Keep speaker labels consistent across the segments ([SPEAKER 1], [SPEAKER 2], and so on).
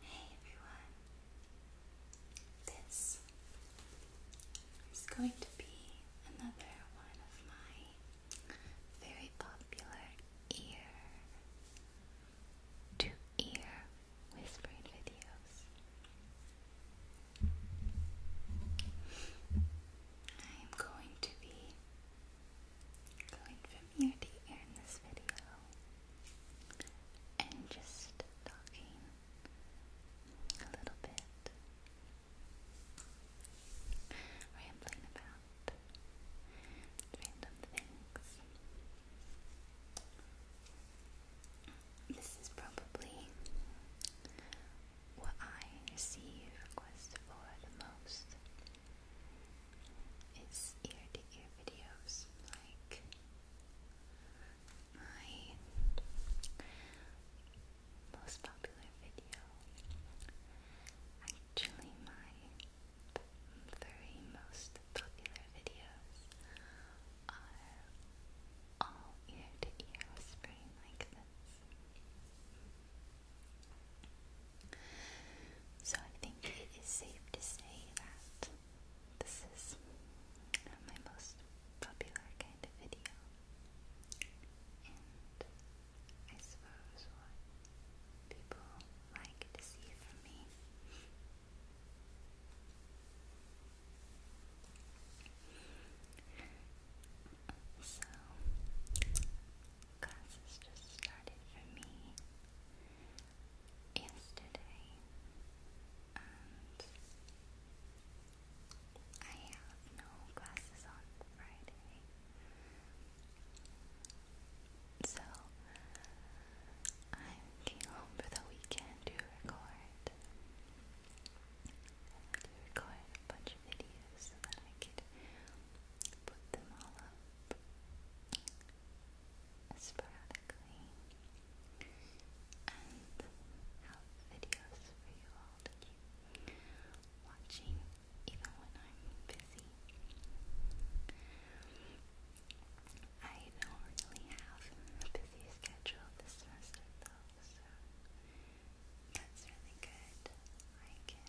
[SPEAKER 1] Hey everyone, this is going to be another one of my very popular ear to ear whispering videos. I am going to be going from ear to ear in this video and just talking a little bit, rambling about random things. This is probably what I receive requests for the most is ear to ear videos like my most popular video actually my three most popular videos are all ear to ear whispering like this so I think it is safe to say that this is my most popular kind of video. And I suppose what people like to see from me. So, classes just started for me yesterday, and I have no classes on Friday, so i came home for the weekend to record, to record a bunch of videos so that I could put them all up sporadically and have videos for you all to keep watching even when I'm busy. I don't really have a busy schedule this semester though, so that's really good. I can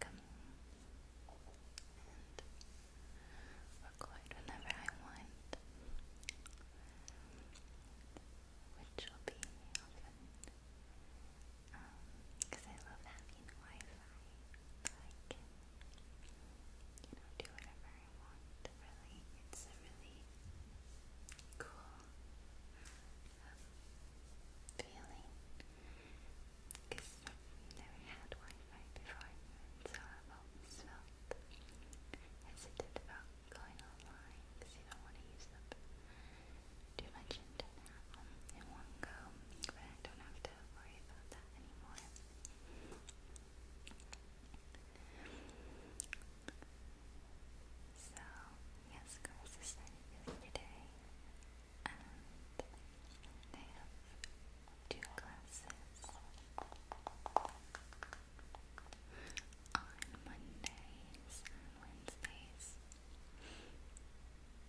[SPEAKER 1] coming and record whenever I want, which will be often because um, I love having Wi-Fi I can, you know, do whatever I want. Really, it's a really cool um, feeling. Because I've never had Wi-Fi before, so I've always felt hesitant about going online you don't want to use up too much in one go. But I don't have to worry about that anymore. So, Yes, girls I and they have two classes on Mondays and Wednesdays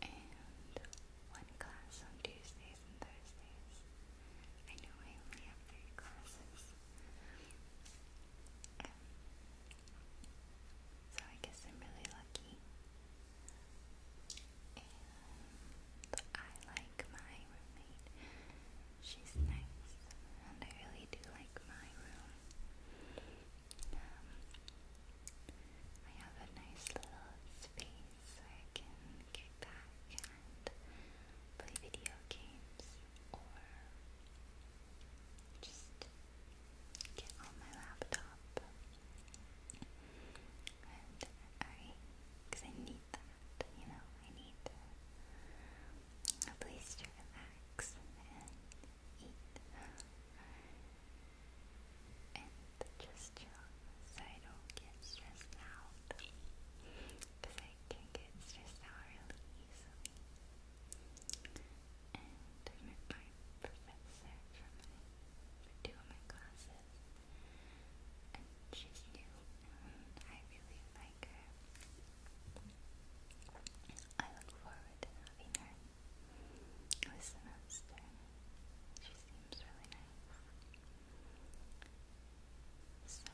[SPEAKER 1] and one class on Tuesdays and Thursdays. I know I only have three classes. So I guess I'm really lucky. And I like my roommate. She's nice. And I really do like my room. Um, I have a nice little space where I can kick back and play video games or just get on my laptop and I, I need that, you know, I need a place to relax and eat and just chill so I don't get stressed out I can get stressed out really easily and I met my professor from my, for of my classes, and she's new, I really like her. I look forward to having her this semester. She seems really nice. So,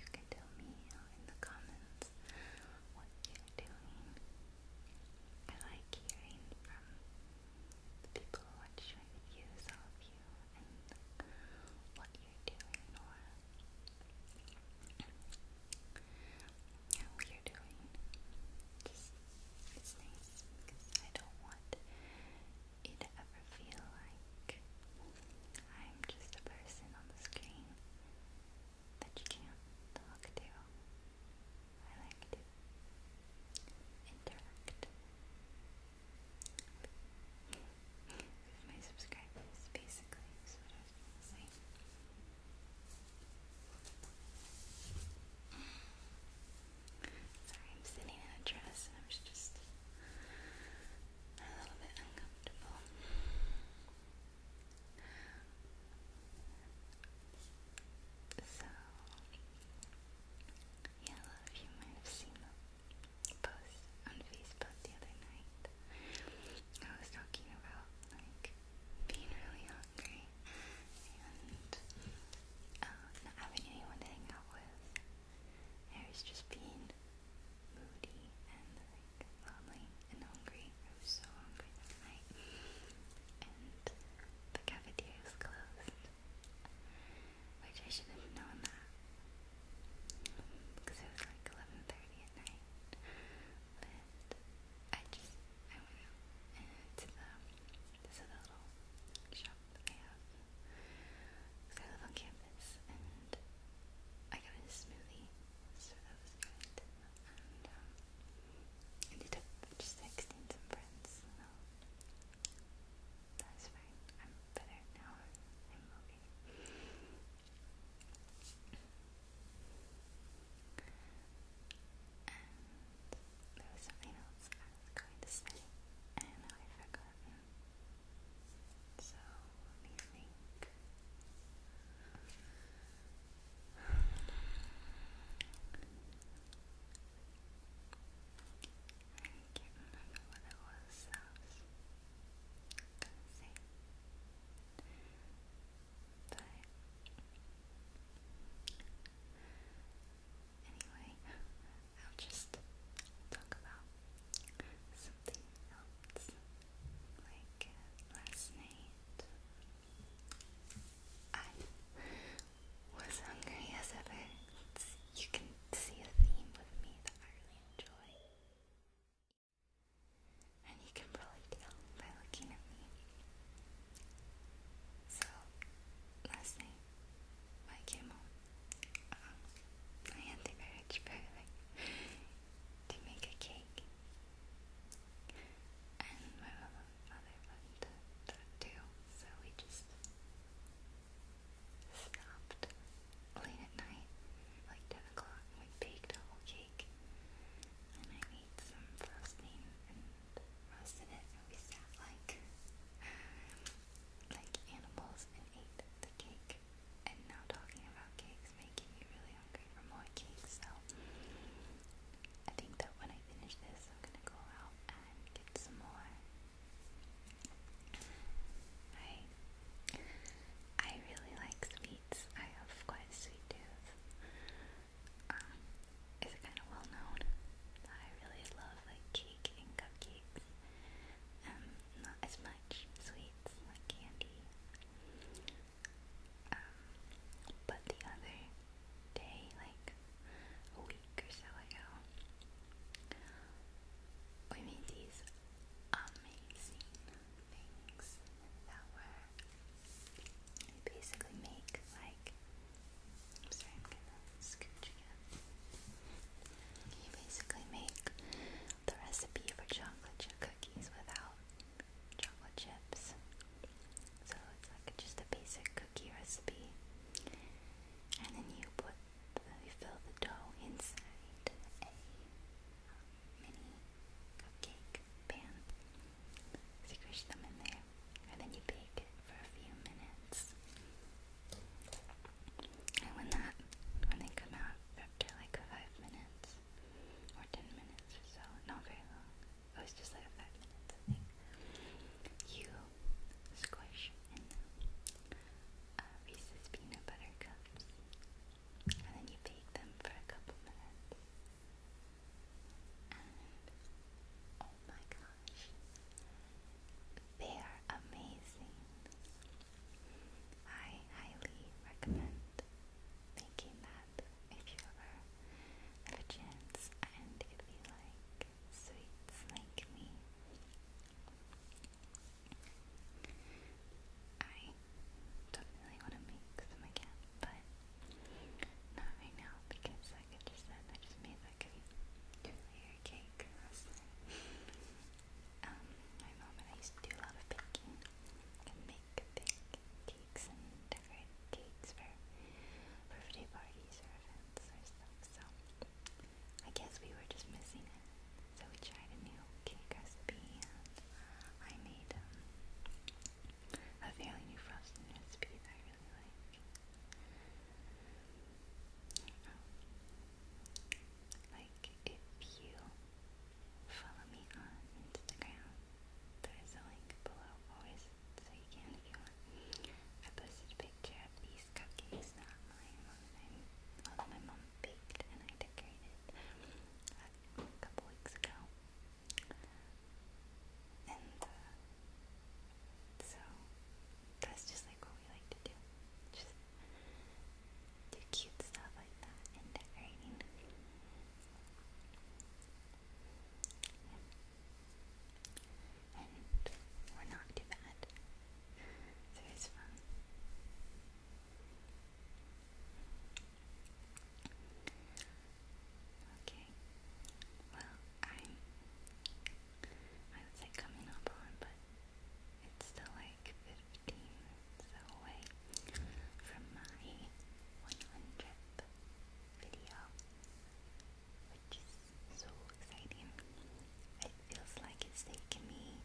[SPEAKER 1] you can tell me in the comments what you're doing I like hearing from people you, what you're doing how you're doing. Just, it's nice I don't want you to ever feel like I'm just a person on the screen that you can talk to. I like to interact with my subscribers, basically, Sorry, I'm sitting in a dress and I'm just a little bit uncomfortable. So, yeah, a lot of you might have seen the post on Facebook the other night. I was talking about like being really hungry and uh, not having anyone to hang out with. I was just being moody and like lonely and hungry. I am so hungry that night. And the cafeteria was closed. Which I should have known that. Because it was like 11.30 at night. But I just, I went out and uh, to the, little shop that have. Because I live on campus and I got a smoothie so that was good. And um, ended just texting some friends. that's fine. I'm better now. I'm okay. And there was something else I was going to say, and I've forgotten. So let think. I can't remember what it was that But anyway, I'll just talk about something else like uh, last night. I was hungry as ever. you can see a theme with me that I really enjoy. And you can probably tell by looking at me. So, last night, I came home, I had the urge for like to make a cake. And my mother, mother loved that too, so we just stopped late at night, like 10 o'clock, and we baked a whole cake. And I made some frosting and roasted it, and we sat like, like animals and ate the cake and now talking about cakes making me really hungry for more cakes, so I think that when I finish this, I'm gonna go out and get some more. I I really like sweets. I have quite a sweet tooth. Um, it's kind of well known that I really love like cake and cupcakes. Um, not as much sweets, like candy. Um, but the other day, like a week or so ago, we made these amazing things that were they basically make like I'm sorry, I'm gonna scooch again. Can you basically make the recipe for chocolate chip cookies without chocolate chips? So it's like just a basic cookie recipe, and then you put the, you fill the dough inside a mini cupcake pan. So you squish them in there, and then you bake it for a few minutes. And when that, when they come out after like five minutes or ten minutes or so, not very long, it was just like five minutes, you squish uh, and then you bake them for a couple minutes. oh my gosh, they are amazing. I highly recommend making that if you ever have a chance and if you like sweets like me. I definitely want to make some again, but not right now because like I just said, I just made like a two layer cake Um, my mom and I used to do a lot of baking and make cakes and cakes for birthday parties or events or stuff. So I guess we were just missing it. So we tried a new cake recipe and I made um, a fairly new frosting recipe that I really like. Like, if you follow me on Instagram, there's a link below always, so you can if you I posted a picture of these cupcakes, not mine, my mom baked and I decorated a couple weeks ago. Uh, so that's just like what we like to do. Just do cute stuff like that and decorating. And we're not too bad. So it's fun. Okay. Well, I I would say coming up on, but it's still like 15 away from my 100th video, which is so exciting. It feels like it's taken me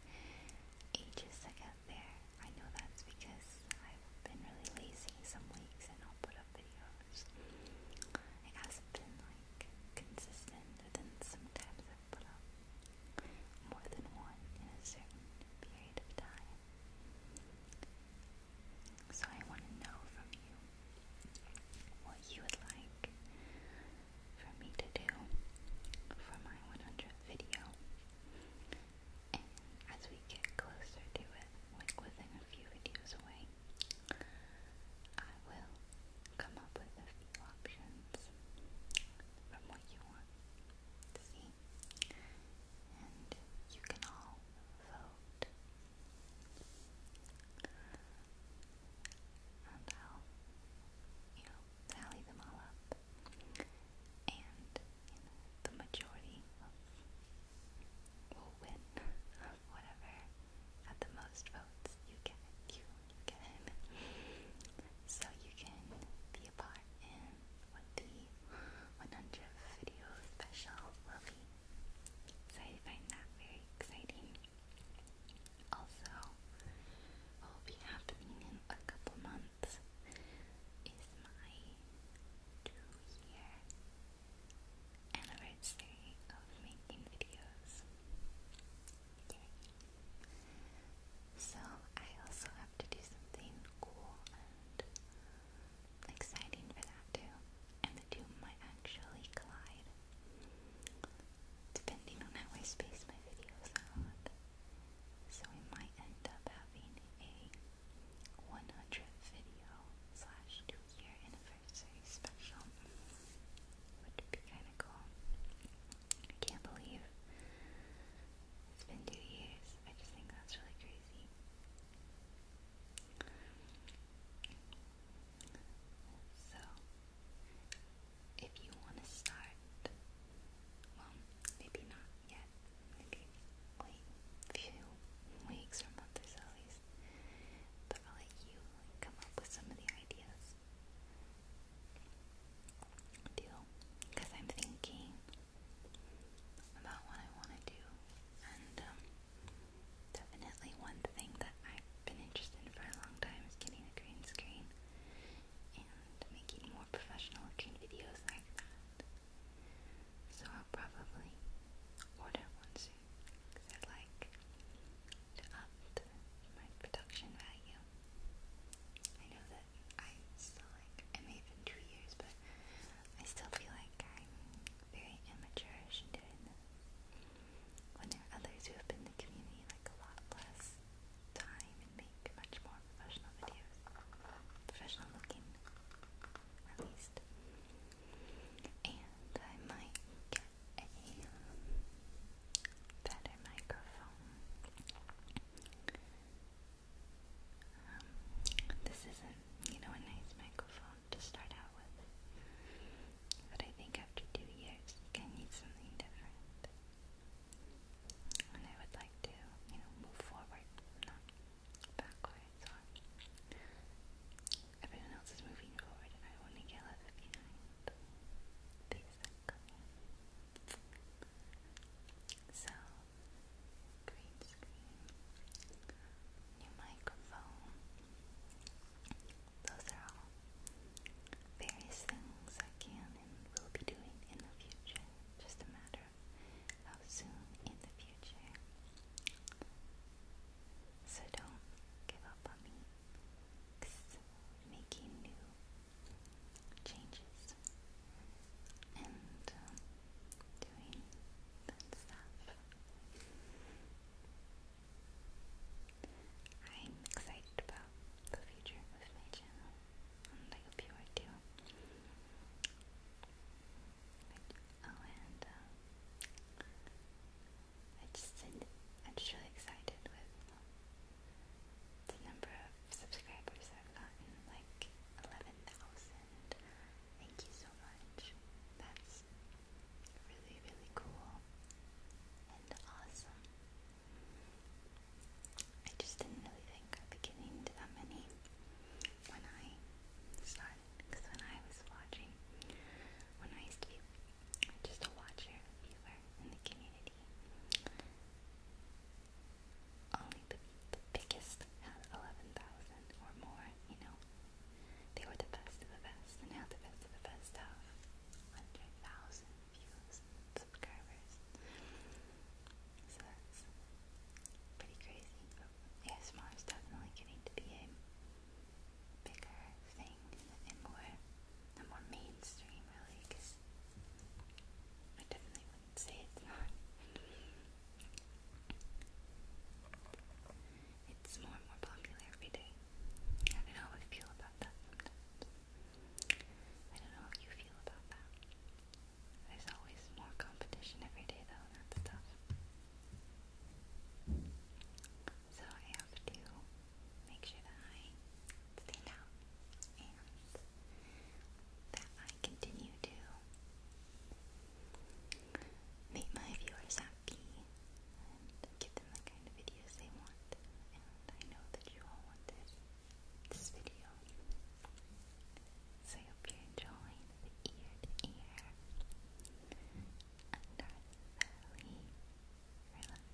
[SPEAKER 1] ages to get there. I know that's because I've been really lazy some weeks and I'll put up videos. It hasn't been like consistent than some types of puddle, more than one in a certain period of time. So I want to know from you what you would like for me to do for my 100th video. And as we get closer to it, like within a few videos away, I will come up with a few options from what you want to see, and you can all vote. And I'll, you know, tally them all up. And, the majority will win of whatever had the most votes, you get You, get it. so you can be a part in what the 100 video special will be. So I find that very exciting. Also, will be happening in a couple months is my two year anniversary of making videos. So I also have to do something cool and exciting for that too. And the two might actually collide. Depending on how I space my videos out. So we might end up having a 100th video slash 200 year anniversary special, which would be kind of cool. I can't believe it's been two years. I just think that's really crazy. So, if you want to start, well, maybe not yet, maybe wait a few weeks or months or so, but I'll let you come up with some of the ideas. Deal. Because I'm thinking about what I want to do. And um, definitely one thing that I've been interested in for a long time is getting a green screen and making more professional looking videos like that. So i probably order one soon because I'd like to up my production value. I know that I still like I may have been two years, but I still feel like I'm very immatureish and doing this. When there are others who have been in the community like a lot less time and make much more professional videos, professional looking at least and I might get a better microphone. Um, this isn't, you know, a nice microphone to start out with, but I think after two years, I need something different. And I would like to, you know, move forward, backwards or everyone else is moving forward and I only get left behind. Basically. So green screen, new microphone. Those are all various things I can and will be doing in the future. Just a matter how soon in the future. So don't give up on me, making new changes and um, doing that stuff. I'm excited about the future with my channel, and I hope you are too. Oh, and uh, I just I'm just really excited with the number of subscribers I've gotten, like eleven thousand. Thank you so much. That's really really cool and awesome. I just didn't really think I'd be getting that many when I started on because when I was watching, when I used to be just a watcher, viewer in the community, only the, the biggest had 11,000 or more, you know. They were the best of the best, and now the best of the best have 100,000 views subscribers. So that's pretty crazy, but oh, ASMR definitely getting to be a bigger thing and more, more mainstream really, because I definitely would say it's not. It's more and more popular every day. I don't know how I feel about that I don't know how you feel about that. There's always more competition every day, though, that's tough. So I have to make sure that I stand out and that I continue to make my viewers happy and give them the kind of videos they want. And I know that you all want this, this video. So I hope you're enjoying the ear to ear and are thoroughly relaxed.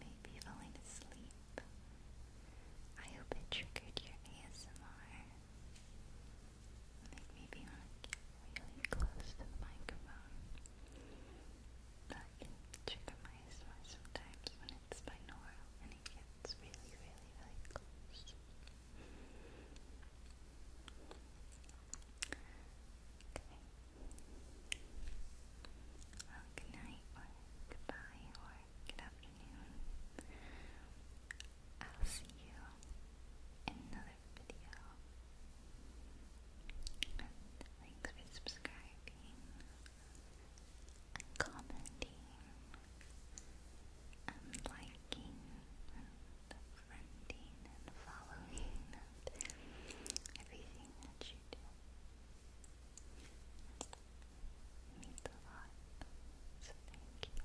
[SPEAKER 1] maybe falling asleep. I hope it triggered your ASMR. maybe want really close to the microphone. That can my sometimes when it's binaural and it gets really, really, really close. Okay. Well, good night or goodbye or good afternoon. I'll see you in another video. And thanks for subscribing commenting and liking and friending and following and everything that you do. means a lot. So thank you.